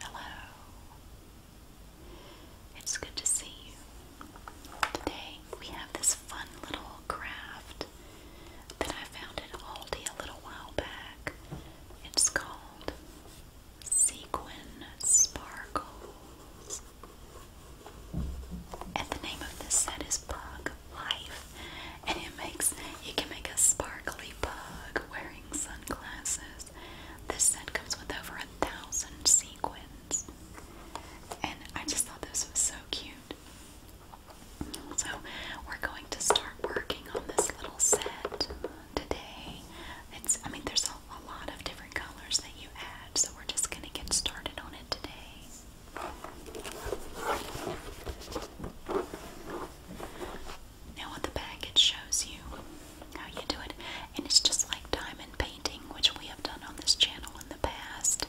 Hello. It's good to see you. Today we have this fun little craft that I found at Aldi a little while back. It's called Sequin Sparkles. And the name of this set is Bug life. And it makes you can make a sparkly pug wearing sunglasses. This set comes with over a thousand sequins. And I just thought this was so cute. So we're going to start working on this little set today. It's I mean there's a, a lot of different colors that you add, so we're just gonna get started on it today. Now, what the package shows you how you do it, and it's just like diamond painting, which we have done on this channel in the past.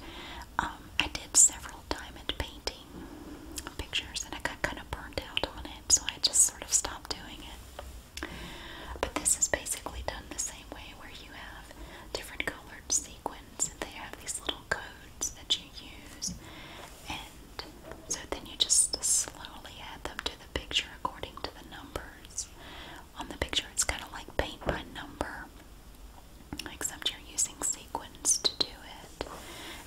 Um, I did several diamond painting pictures, and I got kind of burned out on it, so I just sort of stopped doing it. But this is basically done the same way, where you have different colored seeds sequence. They have these little codes that you use, and so then you just slowly add them to the picture according to the numbers on the picture. It's kind of like paint by number, except you're using sequins to do it.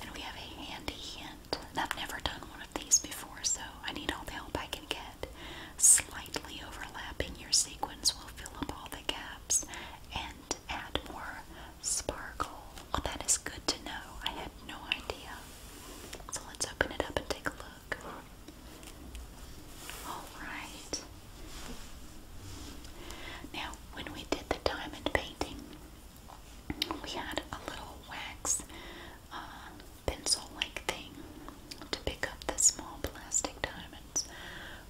And we have a handy hint. And I've never done one of these before, so I need all the help I can get. Slightly overlapping your sequins will fill up all the gaps and add more sparkle. Oh, that is good to know. I had no idea. So let's open it up and take a look. Alright. Now, when we did the diamond painting, we had a little wax uh, pencil like thing to pick up the small plastic diamonds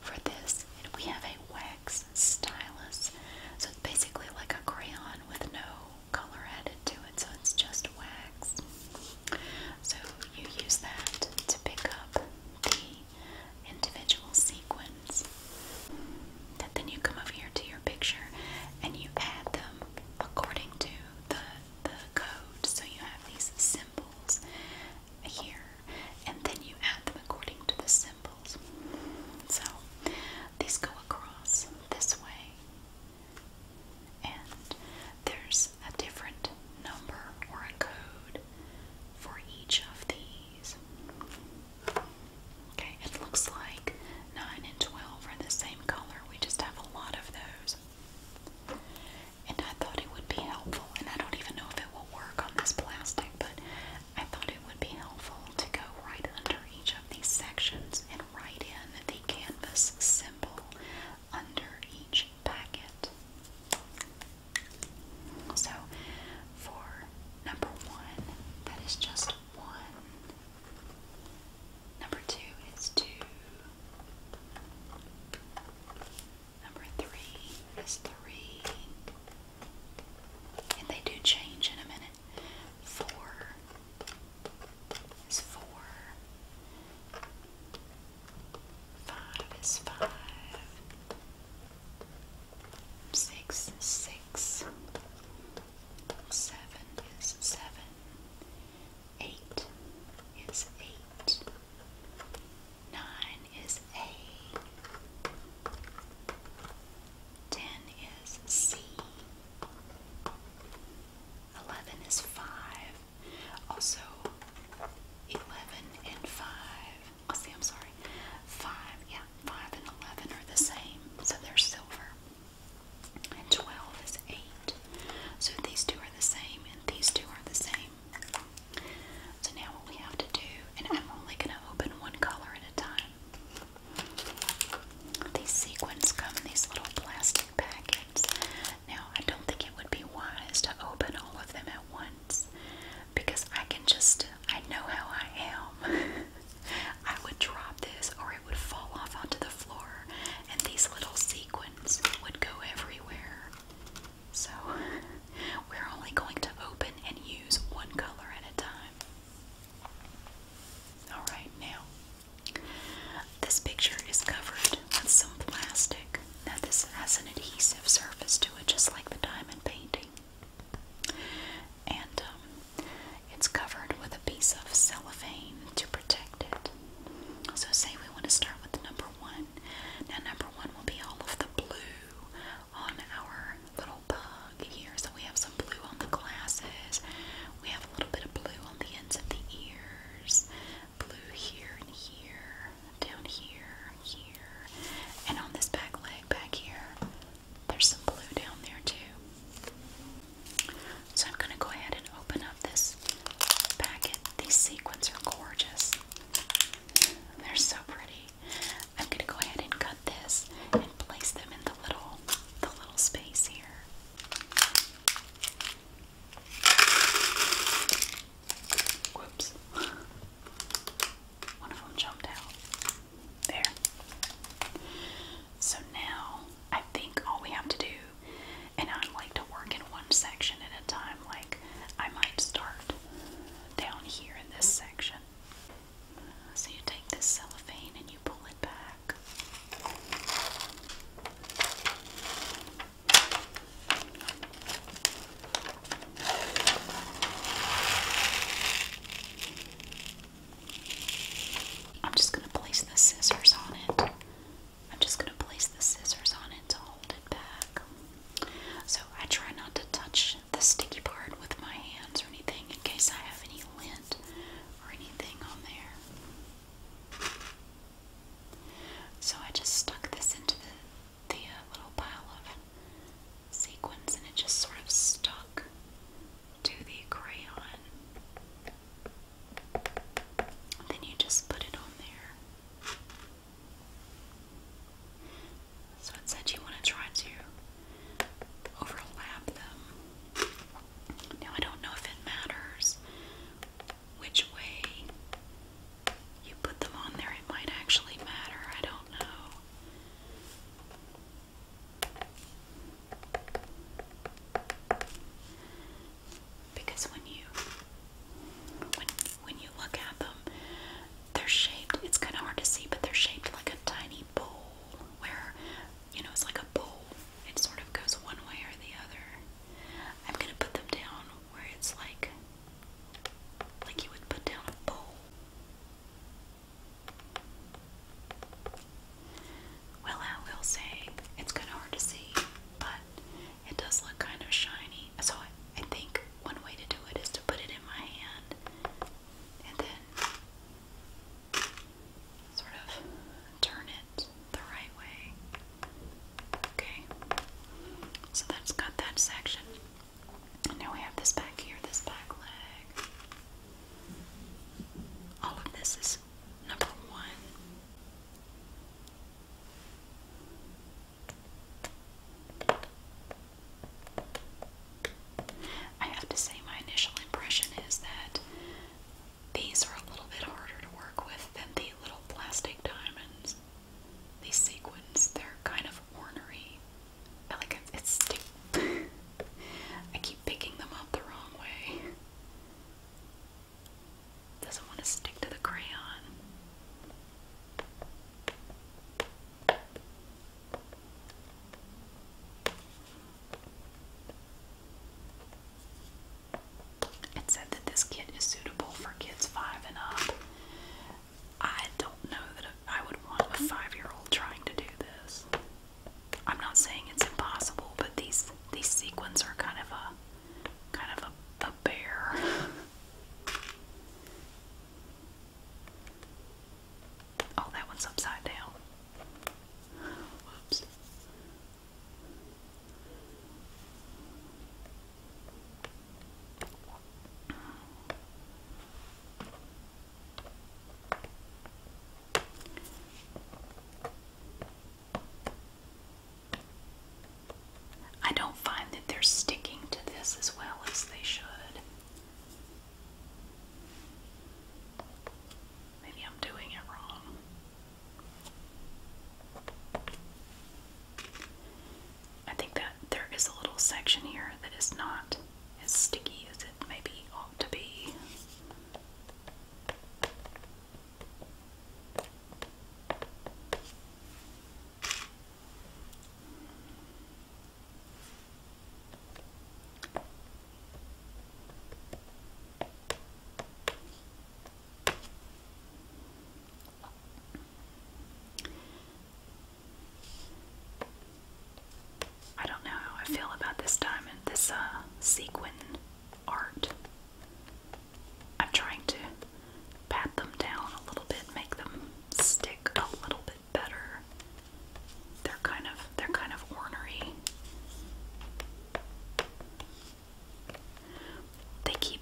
for this. And we have a wax stylus. So it's basically like a crayon with no color added to it. So it's just wax. So you use that to pick up the individual sequins. And then you come over here to your picture and you add them according to the the code. So you have these symbols here, and then you add them according to the so these go across this way, and there's a different number or a code for each of these. Okay, it looks like 9 and 12 are the same color, we just have a lot of those. And I thought it would be helpful, and I don't even know if it will work on this plastic, but I thought it would be helpful to go right under each of these sections and write in the canvas symbol under each packet. So for number one, that is just one. Number two is two. Number three is three and they do change in a minute. Four is four. Five is five. Six is six. Seven is seven. Eight is eight. Nine is eight. Ten is C. Eleven is five. Also, eleven and five. I oh, see. I'm sorry. Five. Yeah, five and eleven are the same, so they're silver. And twelve is eight. So these two are the same, and these two are the same. So now what we have to do, and I'm only going to open one color at a time. These sequins come in these little plastic packets. Now I don't think it would be wise to open all of them at once because I can just, I know how I am. I would drop this or it would fall off onto the floor and these little sequins would go everywhere. So we're only going to open and use one color at a time. Alright, now, this picture is covered with some plastic. Now, this has an adhesive surface to it, just like the diamond painting. And um, it's covered with a piece of cellophane to protect it. So, say we want to start with number one. Now, number one will be all of the blue on our little bug here. So we have some blue on the glasses. We have a little bit of blue on the ends of the ears. Blue here and here, down here, here. And on this back leg back here, there's some blue down there too. So I'm going to go ahead and open up this packet. These sequins are gorgeous. They're so pretty. I'm gonna go ahead and cut this and place them in the little the little space here. Whoops. One of them jumped out. There. So now I think all we have to do, and I like to work in one section at a time, like I might start down here in this section. So you take this cellophane and you pull it back. I'm just going to place the scissors on it. I'm just going to place the scissors on it to hold it back. So I try not to touch the sticky part with my hands or anything in case I have any lint or anything on there. So I just stuck this into the, uh, little pile of sequins and it just sort of stuck to the crayon. then you just put it on there. So it said you want to try to overlap them. Now I don't know if it matters which way you put them on there. It might actually matter. I don't know. Because when you when when you look at them, they're shaped, it's kind of hard to see, but they're shaped like a tiny bowl where, you know, it's like a bowl. It sort of goes one way or the other. I'm going to put them down where it's like, like you would put down a bowl. Well, I will say it's kind of hard to see, but it does look kind of shiny. So I, think one way to do it is to put it in my hand and then sort of turn it the right way. Okay, so that's that section. now we have this back here, this back leg. All of this is number one. I have to say, my initial impression is that these are a little bit harder to work with than the little plastic diamonds. These sequins, they're kind of ornery. I like it, it's I keep picking them up the wrong way. Doesn't want to stick to the crayon. It said that this kit is suitable for kids five and up. I don't know that I would want a five year old trying to do this. I'm not saying it's impossible, but these these sequins are kind of a kind of a, a bear. Oh, that one's upside down. Whoops. I don't find that they're sticking to this as well as they should. Maybe I'm doing it wrong. I think that there is a little section here that is not as sticky as it maybe ought to be. I don't know how I feel about this diamond, this uh, sequin art. I'm trying to pat them down a little bit, make them stick a little bit better. They're kind of they're kind of ornery. They keep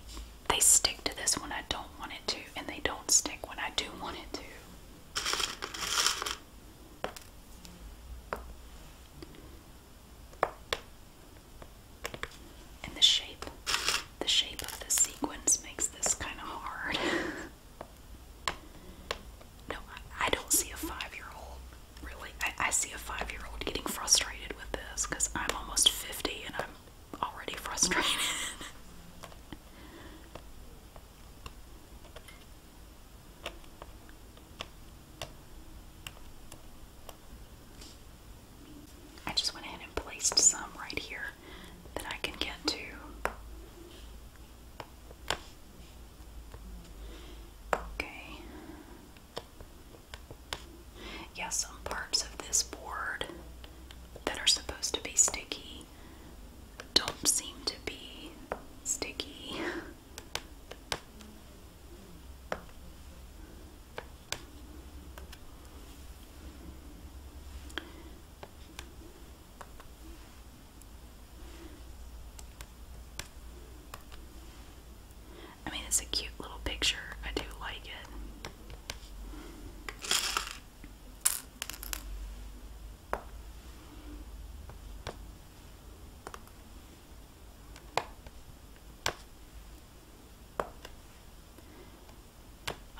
they stick to this when I don't want it to, and they don't stick when I do want it to. And the shape, the shape of the sequence makes this kind of hard. No, I, don't see a five-year-old really. I see a five-year-old getting frustrated with this because I'm almost 50 and I'm already frustrated. I just went ahead and placed some right here that I can get to. Okay. Yeah, some parts of this board that are supposed to be sticky don't seem to be sticky. I mean, it's a cute little picture. I do like it.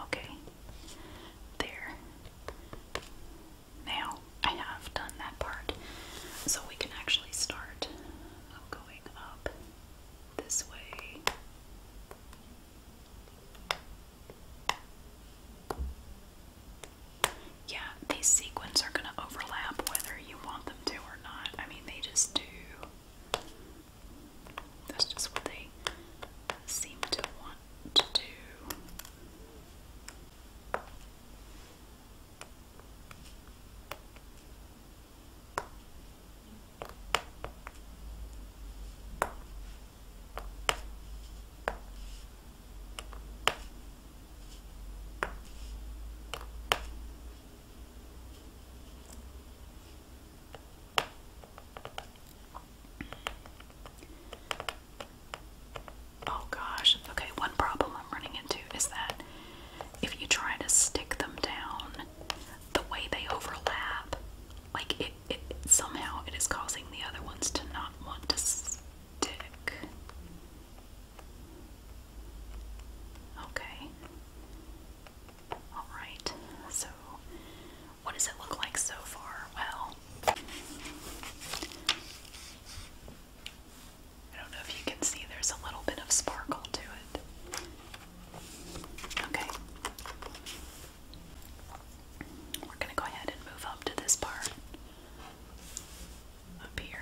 Okay. There. Now I have done that part. So we can actually start going up this way. Yeah, these sequins are going to overlap whether you want them to or not. I mean, they just do. That's just what they seem to want to do. Oh gosh, okay, one problem I'm running into is that if you try to stick them down, the way they overlap, like it, it somehow it is causing the other ones to not want to stick. Okay. Alright, so what does it look like so far? Well, I don't know if you can see there's a little bit of sparkle to it. Okay. We're going to go ahead and move up to this part up here.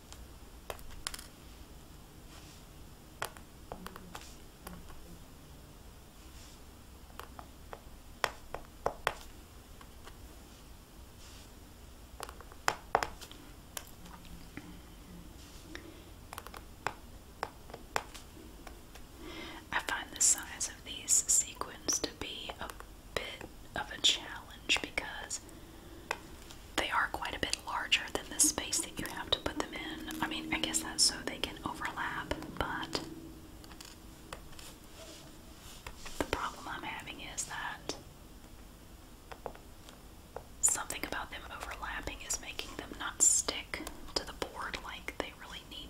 I find the size of these sequins to be a bit of a challenge because they are quite a bit larger than the space that you have to put them in. I mean, I guess that's so they can overlap, but the problem I'm having is that something about them overlapping is making them not stick to the board like they really need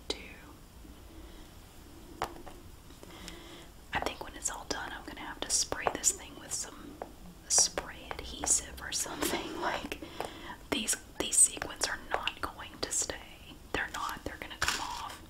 to. I think when it's all done, I'm going to have to spray this thing with some spray adhesive or something. Like these these sequins are not going to stay. They're not. They're gonna come off.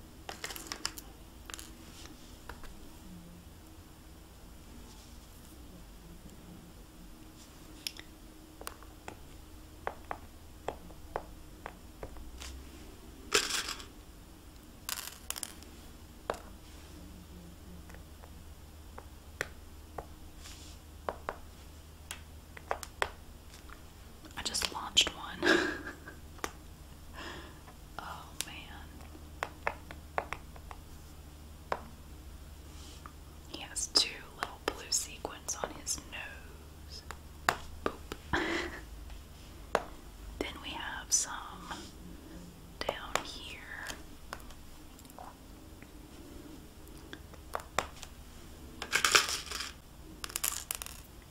I just launched one. oh man. He has two little blue sequins on his nose. Boop. then we have some down here.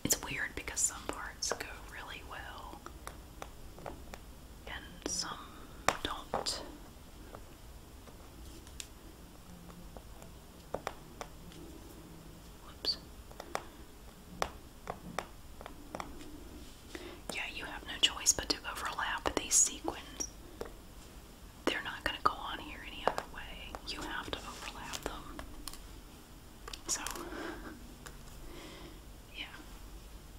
It's weird because some parts go really well and some don't. Whoops. Yeah, you have no choice but to overlap these sequins. They're not going to go on here any other way. You have to overlap them. So, yeah,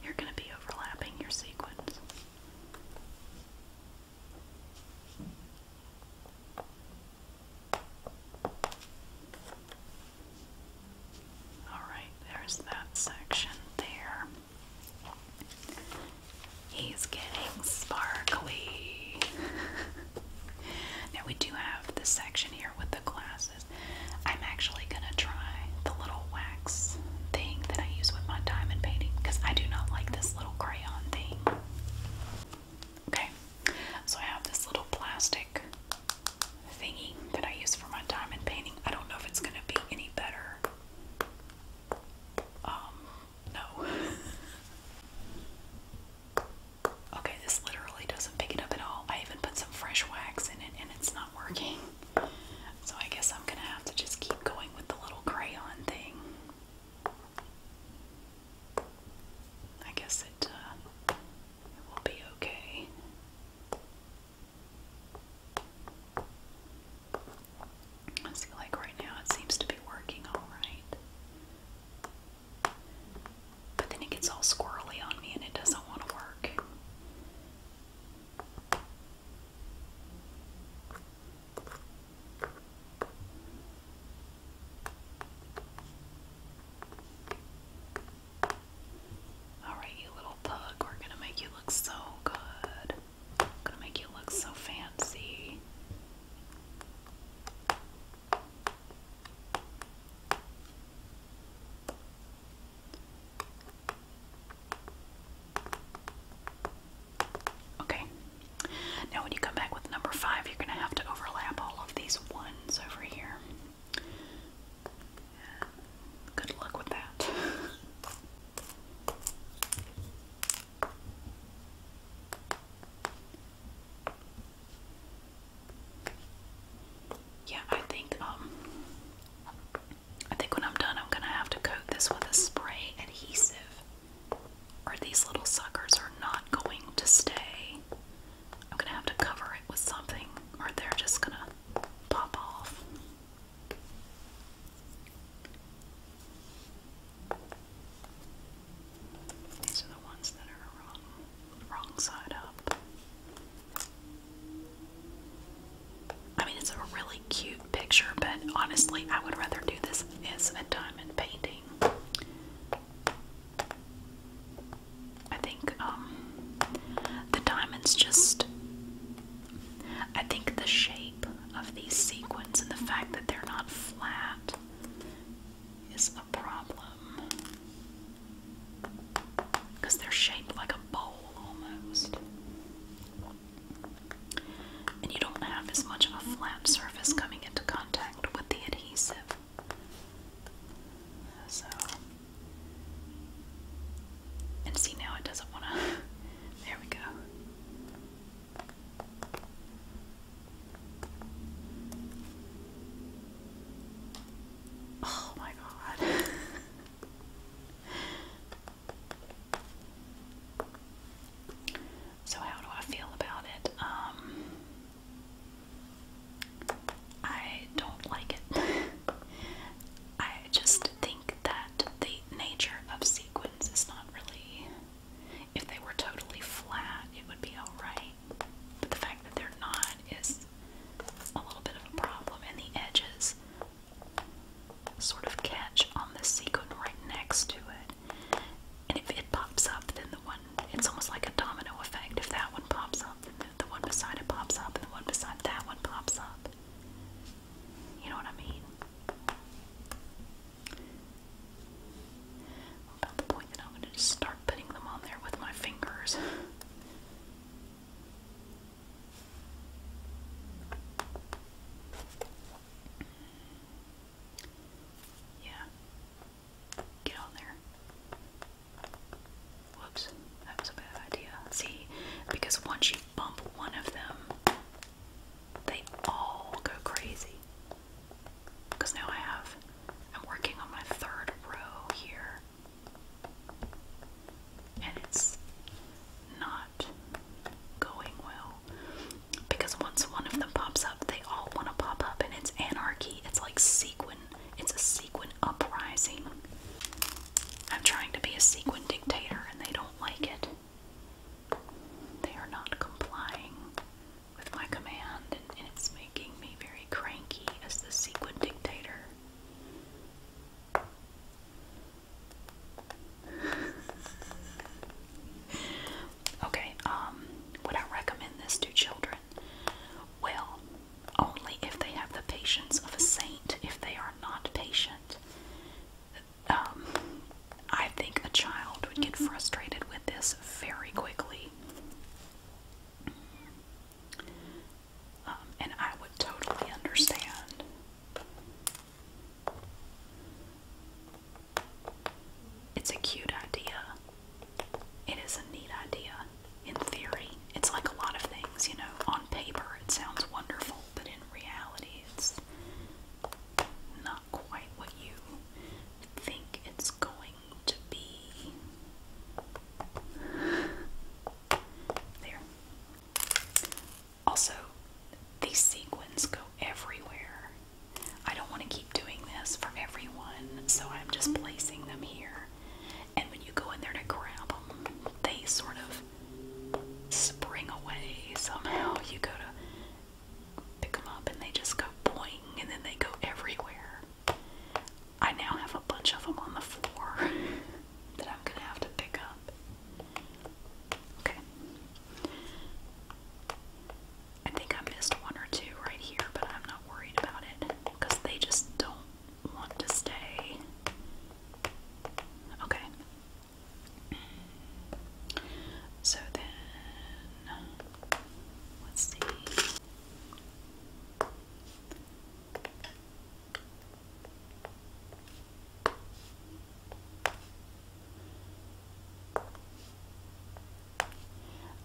you're going to be overlapping your sequins. Alright, there's that section there. He's getting sparkly. now we do have this section here with the glasses. I'm actually going to try the little wax thing that I use with my diamond painting because I do not like this little crayon thing. Okay, so I have this little plastic thingy that I use for my diamond painting. I don't know if it's going to be any better um, no. okay, this literally doesn't pick it up at all. I even put some fresh wax in it and it's not working. So I guess I'm gonna have to just keep going with the little crayon thing. I guess it, uh, it will be okay. I feel like right now it seems to be working alright. But then it gets all squirrely on me and it doesn't want to work. Alright, you little we're gonna make you look so good. gonna make you look so fancy. Okay. Now when you come back with number five, you're going to have to overlap all of these ones over here. Good luck with that. yeah, I think um, I think when I'm done I'm gonna have to coat this with a spray adhesive. Or these little suckers are not going to stay. I'm gonna have to cover it with something or they're just gonna pop off. These are the ones that are wrong, wrong side up. I mean, it's a really cute picture, but honestly, I would rather do this as a diamond painting. I think um, the diamonds just I think the shape of these sequins and the fact that they're not flat is a problem. Because they're shaped like a bowl almost. And you don't have as much of a flat surface coming into contact with the adhesive. So and see now it doesn't want to. there we go. Oh my god. so how do I feel about it? Um, I don't like it. I just think that the nature of sequins is not really. If they were totally flat, it would be alright. But the fact that they're not is a little bit of a problem, and the edges sort of catch on the sequin right next to it. And if it pops up, then the one, it's almost like a domino effect. If that one pops up, then the one beside it pops up, and the one beside that one pops up. You know what I mean? about the point that I'm going to just start putting them on there with my fingers. yeah. Get on there. Whoops, that was a bad idea. See, because once you bump one of them, they all go crazy. Because now I have, I'm working on my third row here. And it's not going well. Because once one of them pops up, they all want to pop up, and it's anarchy. It's like sequin, it's a sequin uprising. I'm trying to be a sequin dictator and they don't like it. They are not complying with my command and, it's making me very cranky as the sequin dictator. okay, um, would I recommend this to children? Well, only if they have the patience of a saint. If they are not patient, um, I think a child would get mm-hmm. frustrated with this very quickly. Um, and I would totally understand. It's a cute idea. It is a neat idea in theory. It's like a lot of things, you know, on paper it sounds wonderful but in reality, it's not quite what you think it's going to be. There. Also, these sequins go everywhere. I don't want to keep doing this for everyone, so I'm just placing them here and when you go in there to grab them, they sort of spring away somehow. You go to pick them up, and they just go boing, and then they go everywhere. I now have a bunch of them on the floor that I'm gonna have to pick up. Okay. I think I missed one or two right here, but I'm not worried about it because they just don't want to stay. Okay. So then, let's see.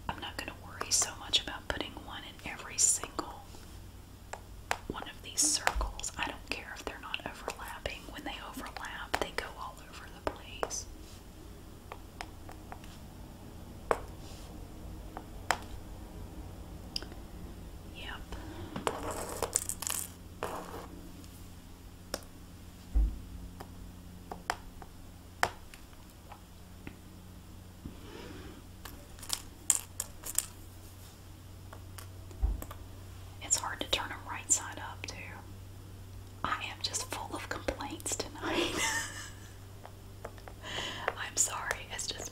I'm not going to worry so much about putting one in every single one of these circles. I don't care if they're not overlapping. When they overlap, they go all over the place. Yep. It's hard to turn them right side up, too. I am just full of complaints tonight. I'm sorry. It's just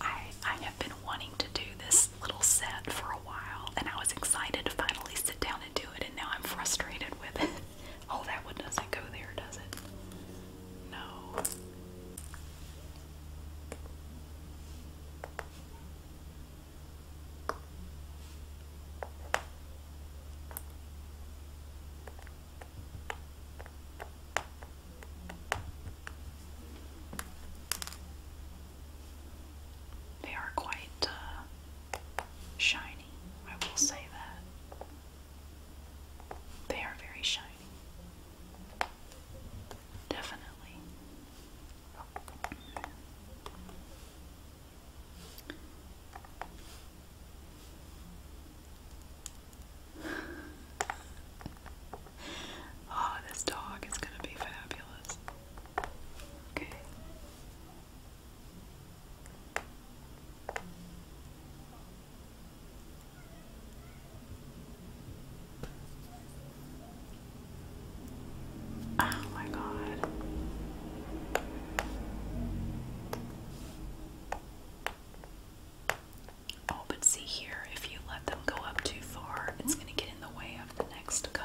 I I have been wanting to do this little set for a while, and I was excited to finally sit down and do it, and now I'm frustrated with it. Oh, that one doesn't go there, does it? No. They are quite uh, shiny, I will say that. They are very shiny. Definitely. oh, this dog is going to be fabulous. Okay. Oh my God. Oh, but see here, if you let them go up too far, it's going to get in the way of the next color.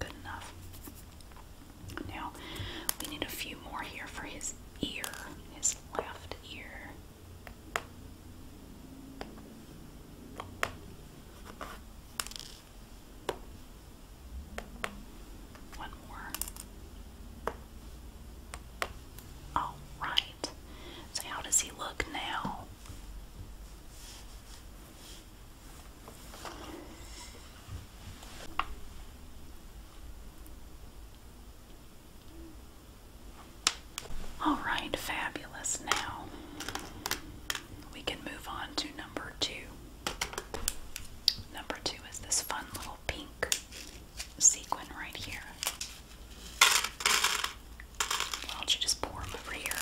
Good enough. Now, we need a few more here for his ear, his left ear. One more. All right. So how does he look now? All right, fabulous. Now we can move on to number two. Number two is this fun little pink sequin right here. Why don't you just pour them over here?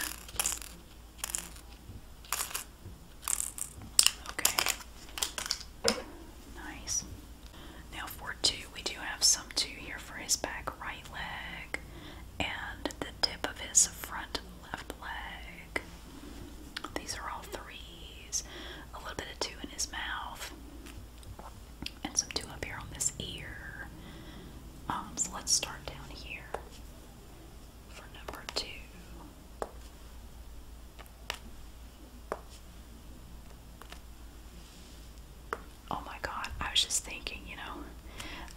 Okay. Nice. Now for two, we do have some two here for his back right leg and the tip of his front left leg. These are all threes. A little bit of two in his mouth. And some two up here on this ear. Um, so let's start down here for number two. Oh my god, I was just thinking, you know,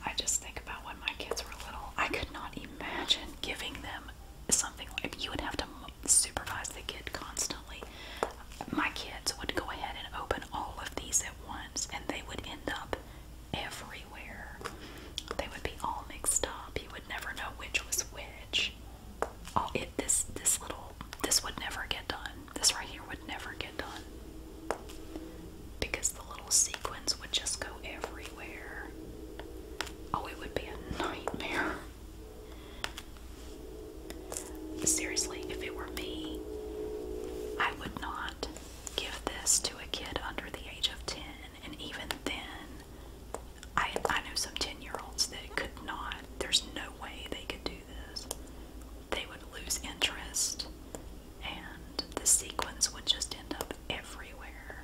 I just think about when my kids were little. I could not imagine giving them something like you would have to supervise the kid constantly. My kids would go ahead and open all of these at once and they would end up everywhere. They would be all mixed up. You would never know which was which. Oh, this this little this would never get done. This right here would never get done. Because the little sequins would just go everywhere. Oh, it would be a nightmare. Seriously, if it were me, I would not give this to a kid under the age of 10, and even then, I, I know some 10 year olds that could not, there's no way they could do this. They would lose interest, and the sequins would just end up everywhere.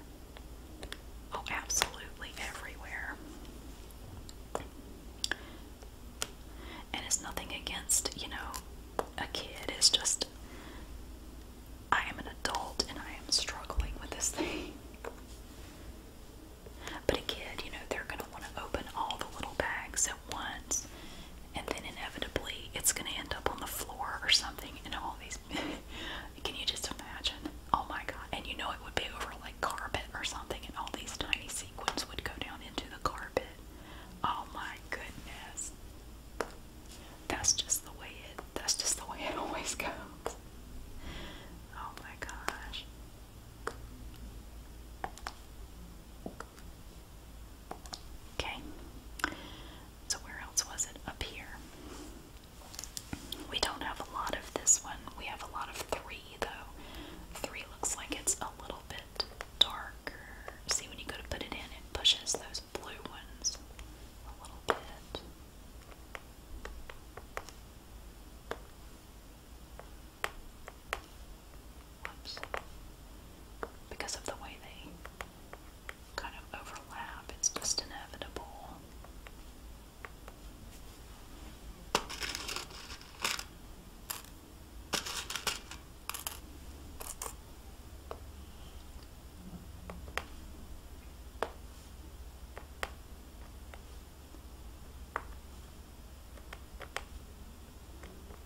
Oh, absolutely everywhere. And it's nothing against, you know, a kid. It's just I am an adult and I am struggling with this thing. But a kid, you know, they're going to want to open all the little bags at once, and then inevitably it's going to end up on the floor or something. And all these, can you just imagine? Oh my god! And you know it would be over like carpet or something, and all these tiny sequins would go down into the carpet. Oh my goodness! That's just the way it that's just the way it always goes. Oh my gosh. Okay. So where else was it? Up here. We don't have a lot of this one. We have a lot of three though. Three looks like it's a little bit dark. See when you go to put it in, it pushes those blue ones a little bit. Because of the way they kind of overlap, it's just inevitable.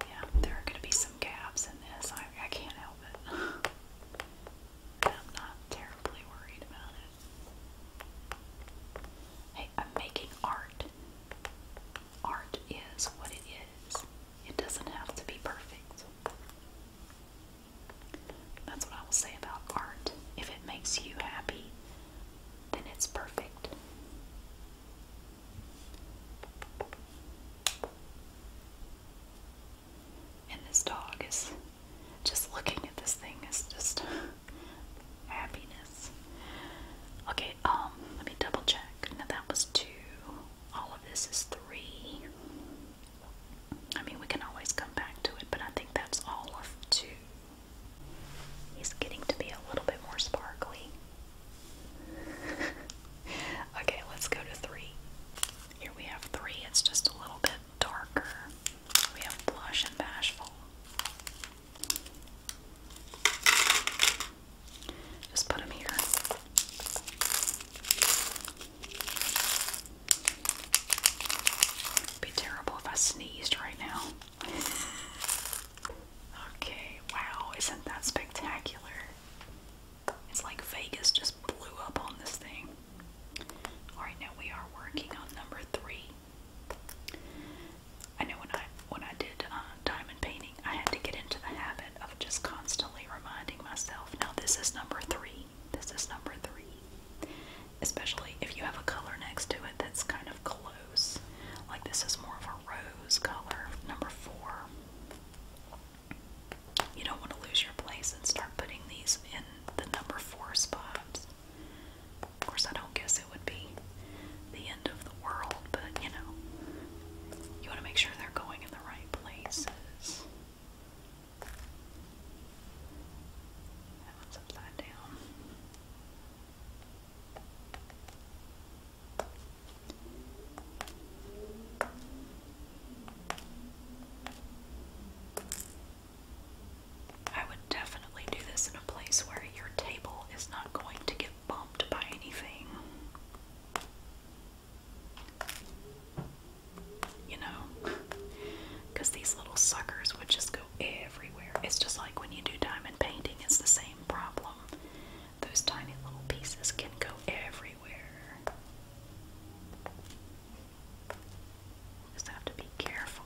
Yeah, there are going to be some gaps in this. I, I can't help it. I'm not terribly worried about it. Hey, I'm making art art is what it is. It doesn't have to be perfect. That's what I will say about art. If it makes you happy, then it's perfect. And this dog is just looking at this thing is just happiness. Okay, um, let me double check. Now that was two all of this is three. I mean, we can always come back to it, but I think that's all of two. He's getting to be a little bit more sparkly. okay, let's go to three. Here we have three, it's just a little bit darker. We have blush and bashful. Just put them here. be terrible if I sneezed right now. okay, wow, isn't that spectacular? It's like Vegas just blew up on this thing. Alright, now we are working on number three. I know when I when I did uh, diamond painting I had to get into the habit of just constantly reminding myself now, this is number three. This is number three. Especially if you have a color next to it that's kind of close. Like this is more of a rose color. Number four. You don't want to lose your place and start putting these in the number four spots. Of course, I don't guess it would be the end of world, but you know, you want to make sure they're going in the right places. That one's upside down. I would definitely do this in a place where your table is not going to get bumped by anything. You know? these little suckers would just go everywhere. It's just like when you do diamond painting, it's the same problem. Those tiny little pieces can go everywhere. Just have to be careful.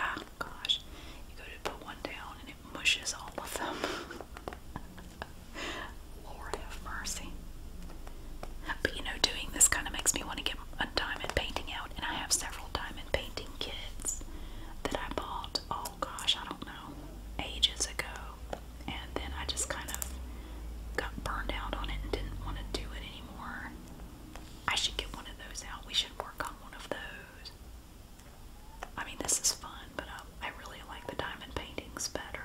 Ah, gosh, you go to put one down and it mushes all of them. Lord have mercy. But you know, doing this kind of makes me want to get a diamond painting out, and I have several diamond painting kits that I bought, oh gosh, I don't know, ages ago. And then I just kind of got burned out on it and didn't want to do it anymore. I should get one of those out. We should work on one of those. I mean, this is fun, but um, I, really like the diamond paintings better.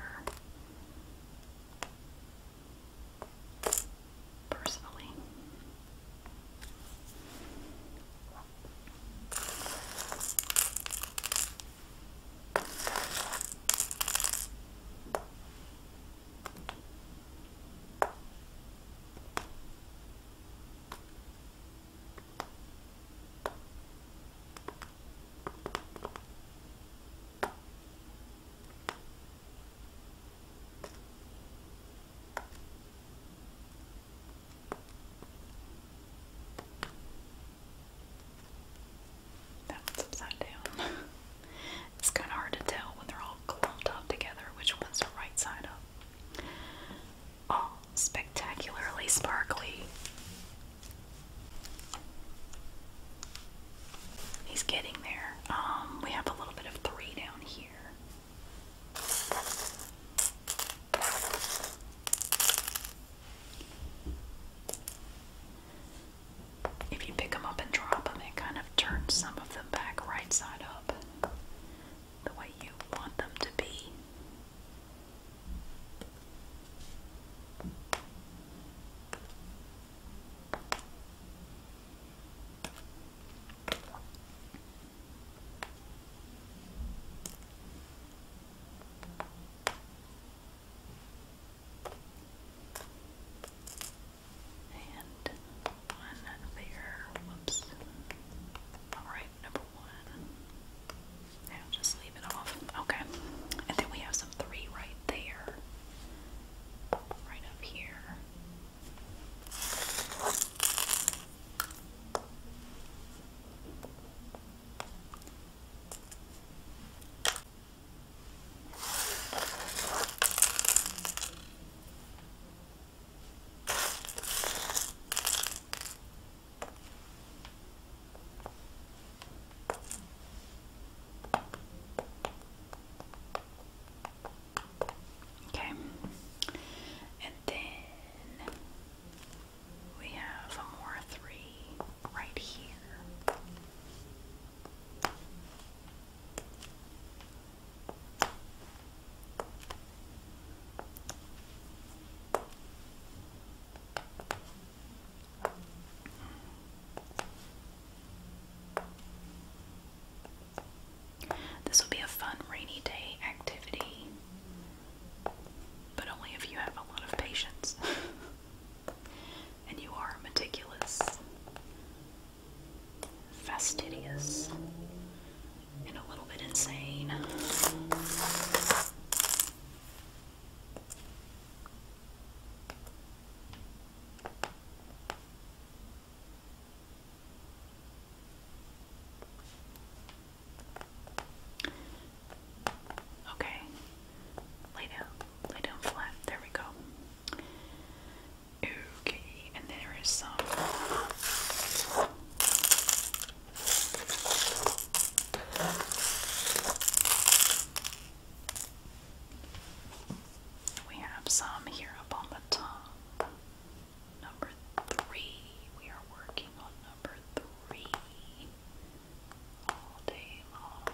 Personally. That one's upside down. it's kind of hard to tell when they're all clumped up together which one's the right side up. Oh, spectacularly sparkly. He's getting there. Um, we have a little bit of three down here. If you pick them up and drop them, it kind of turns some of them back right side up the way you want them to be. And one bigger, whoops, all right number one. Now just leave it off. Okay. And then we have some three right there. Right up here. Okay, and then we have more three right here. This will be a fun rainy day activity, but only if you have a lot of patience and you are meticulous, fastidious, and a little bit insane. Okay, lay down, lay down flat. There we go. Okay, and there is some we have some here up on the top. Number three. We are working on number three all day long.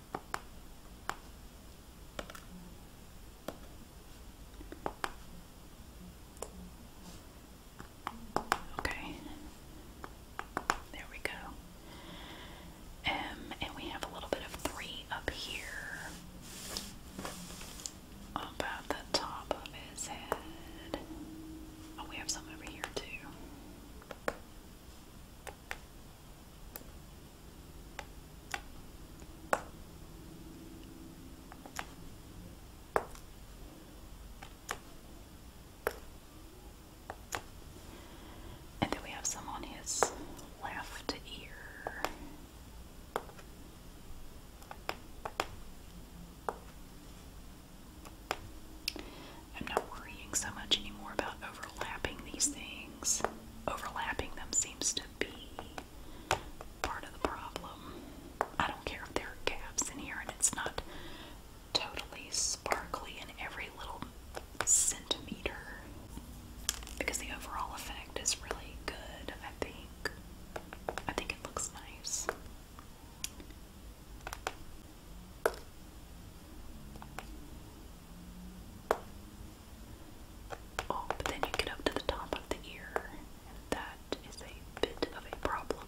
Okay. There we go. Um, and we have a little bit of three up here. About the top of his head. Oh, we have some over here too. And then we have some on his left ear. I'm not worrying so much anymore about overlapping these things. Overlapping them seems to be part of the problem. I don't care if there are gaps in here and it's not totally sparkly in every little centimeter because the overall effect is really good, I think. I think it looks nice. Oh, but then you get up to the top of the ear, and that is a bit of a problem.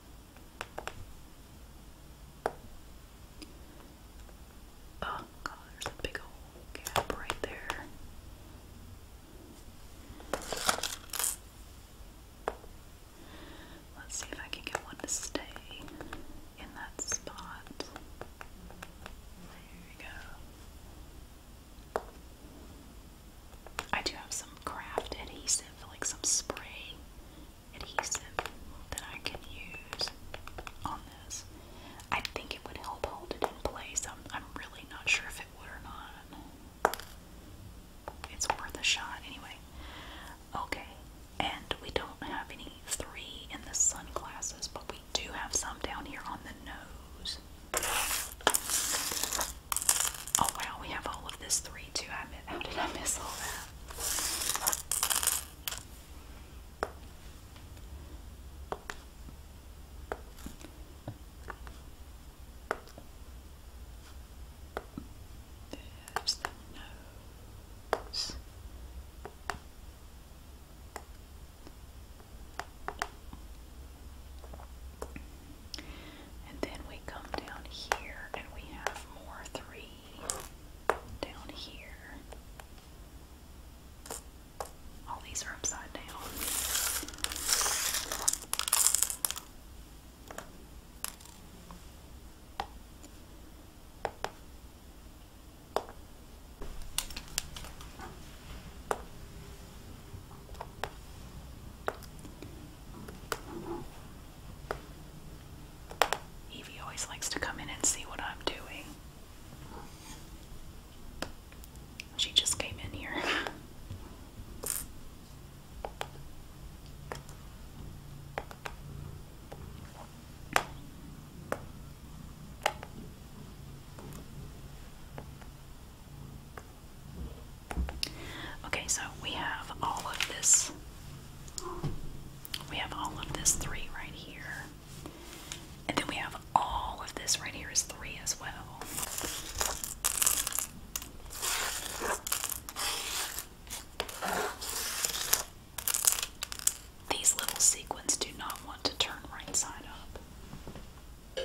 Oh god, there's a big old gap right there. Let's see if I can get one to stay in that spot. There we go. I do have some craft adhesive, like some spray adhesive that I can use on this. I think it would help hold it in place. I'm, I'm really not sure if it would or not. It's worth a shot anyway. Okay, and we don't have any three in the sunglasses, but we do have some down here on the nose. Oh wow, we have all of this three too. how did I miss all that? There's the nose. And then we come down here and we have more three down here. All these are upside down. Evie always likes to come in and see what I'm doing. She just came in here. Okay, so we have all of this. We have all of this three right here. And then we have all of this right here is three as well. These little sequins do not want to turn right side up.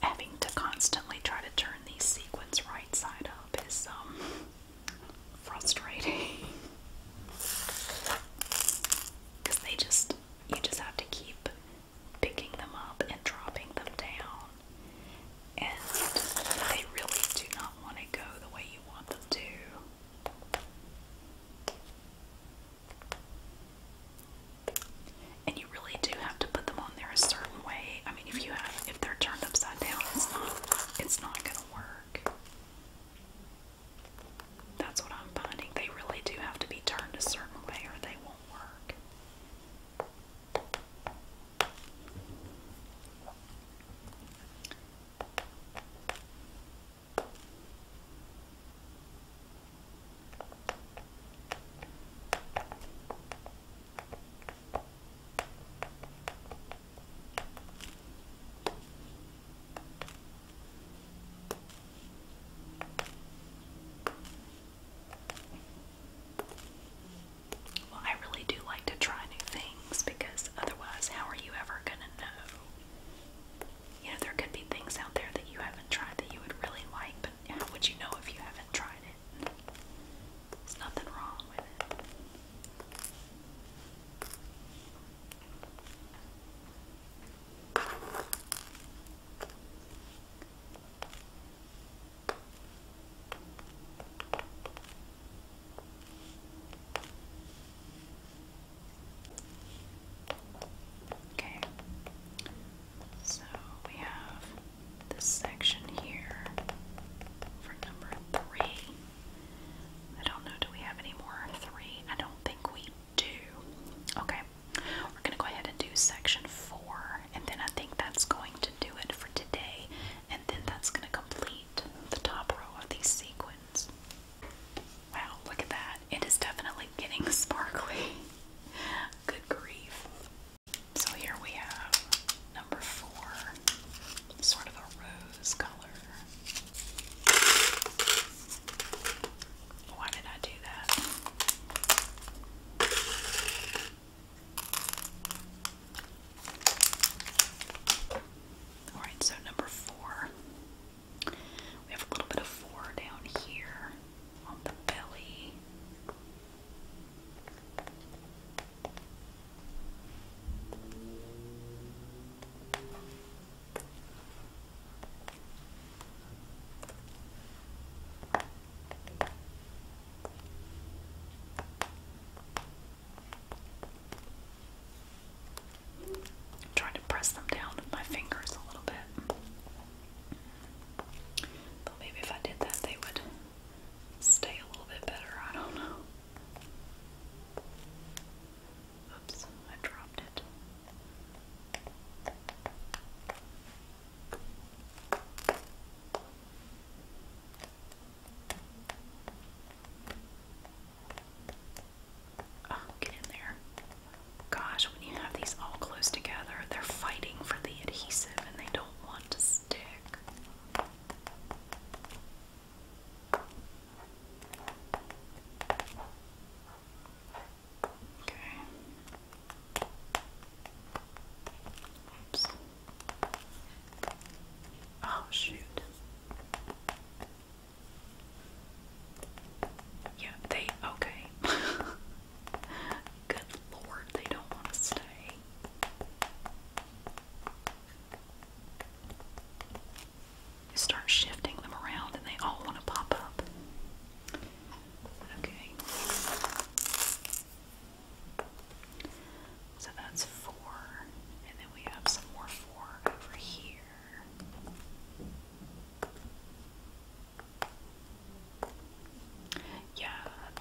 having to constantly try to turn these sequins right side up is um, frustrating because they just you just have to keep picking them up and dropping them down and they really do not want to go the way you want them to and you really do have to put them on there a certain way. I mean, if you have, if they're turned upside down, it's not, it's not gonna work. That's what I'm finding. They really do have to be turned a certain way, or they won't work. Well, I really do like to try new things because otherwise, how are you ever going to know? You know, there could be things out there that you haven't tried that you would really like, but how would you know if you haven't tried it? There's nothing wrong with it. Okay, so we have this section here for number three. I don't know, do we have any more three? I don't think we do. Okay, we're gonna go ahead and do section four, and then I think that's going to do it for today, and then that's gonna complete the top row of these sequins. Wow, look at that. It is definitely getting sparkly. Good grief. So here we have number four, sort of a rose color. Why did I do that? Alright, so number four. We have a little bit of four down here on the belly. I'm trying to press them down with my fingers a little bit. But maybe if I did that, they would stay a little bit better. I don't know. Oops, I dropped it. Oh, get in there gosh, when you have these all close together, they're fighting for the adhesive and they don't want to stick. Okay. Oops. Oh, shoot. Yeah, they okay. Good lord, they don't want to stay. You start shifting them around and they all want to pop up. Okay. So that's four. And then we have some more four over here. Yeah,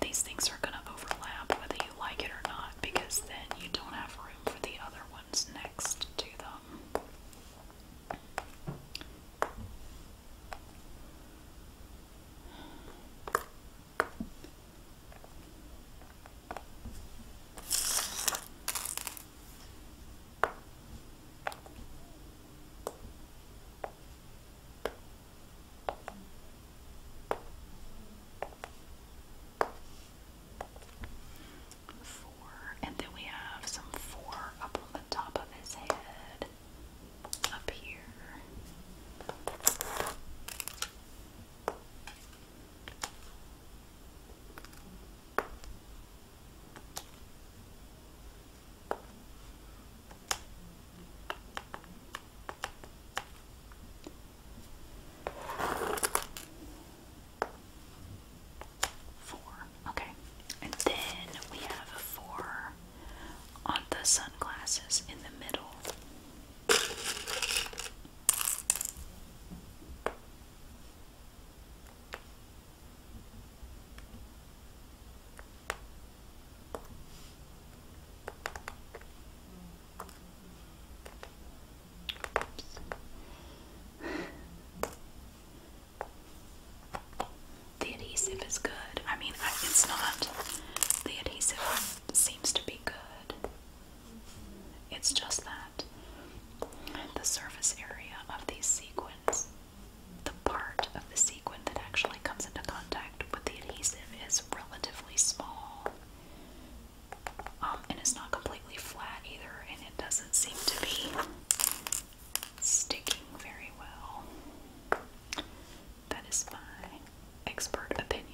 these things are going to overlap whether you like it or not because then you don't have room for the other ones next to them. Four, and then we have some four up on the top of his head up here. Four. Okay. And then we have a four on the sunglasses in the middle the adhesive is good. I mean, it's not. The adhesive seems to be good. It's just that the surface area of these sequins the part of the sequin that actually comes into contact with the adhesive is relatively small. Um, and it's not completely flat either, and it doesn't seem to be sticking very well. That is my expert opinion.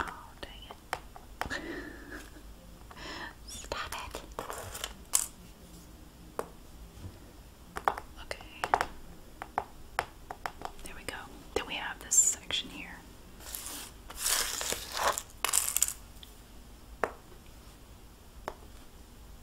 Oh, dang it. Stop it. Okay. There we go. Then we have this section here.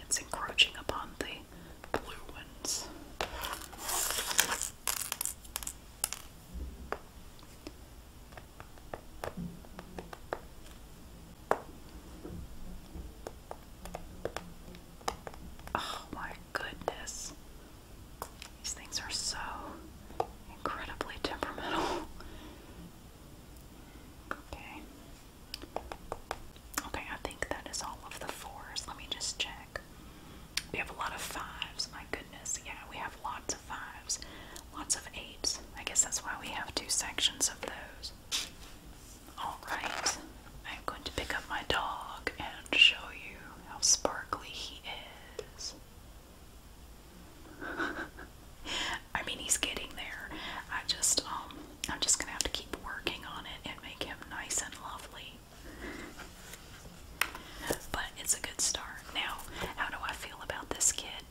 It's encroaching upon the blue ones. Oh my goodness. These things are so incredibly temperamental. Okay. Okay, I think that is all of the fours. Let me just check. We have a lot of fives. My goodness. Yeah, we have lots of fives, lots of eights. I guess that's why we have two sections of those. Alright, I'm going to pick up my dog and show you how sparkly he is. I mean, he's getting there. I just, um, I'm just gonna have to keep working on it and make him nice and lovely. But it's a good start. Now, how do I feel about this kid?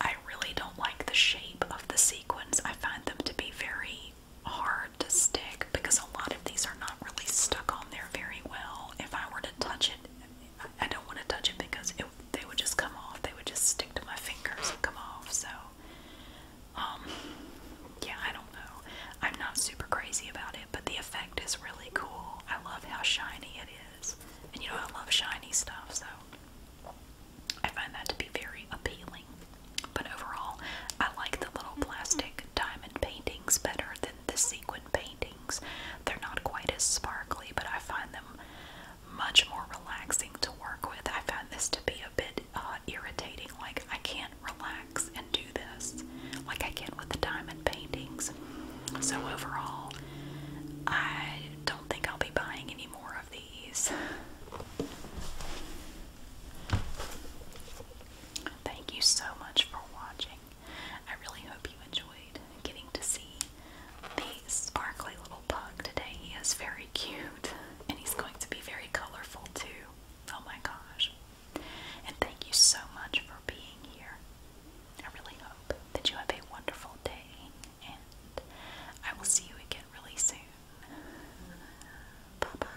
I really don't like the shape of the sequins. I find them to be very hard to stick because a lot of these are not really stuck on there very well. If I were to touch it, I, don't want to touch it because they would just come off. They would just stick to my fingers and come off. So, um, yeah, I don't know. I'm not super crazy about it, but the effect is really cool. I love how shiny it is. And you know, I love shiny stuff, so I find that to be very appealing. But overall, I like the little plastic diamond paintings better than the sequin paintings. They're not quite as sparkly, but I find them much more relaxing to work with. I found this to be a bit uh, irritating. Like, I can't relax and do this like I can not with the diamond paintings. So, overall, I don't think I'll be buying any more of these. Thank you so much for watching. I really hope you enjoyed getting to see the sparkly little bug today. He is very cute and he's going to be very colorful too. Oh my gosh. And thank you so much for being here. I really hope that you have a wonderful day and I will see you again really soon. Bye bye.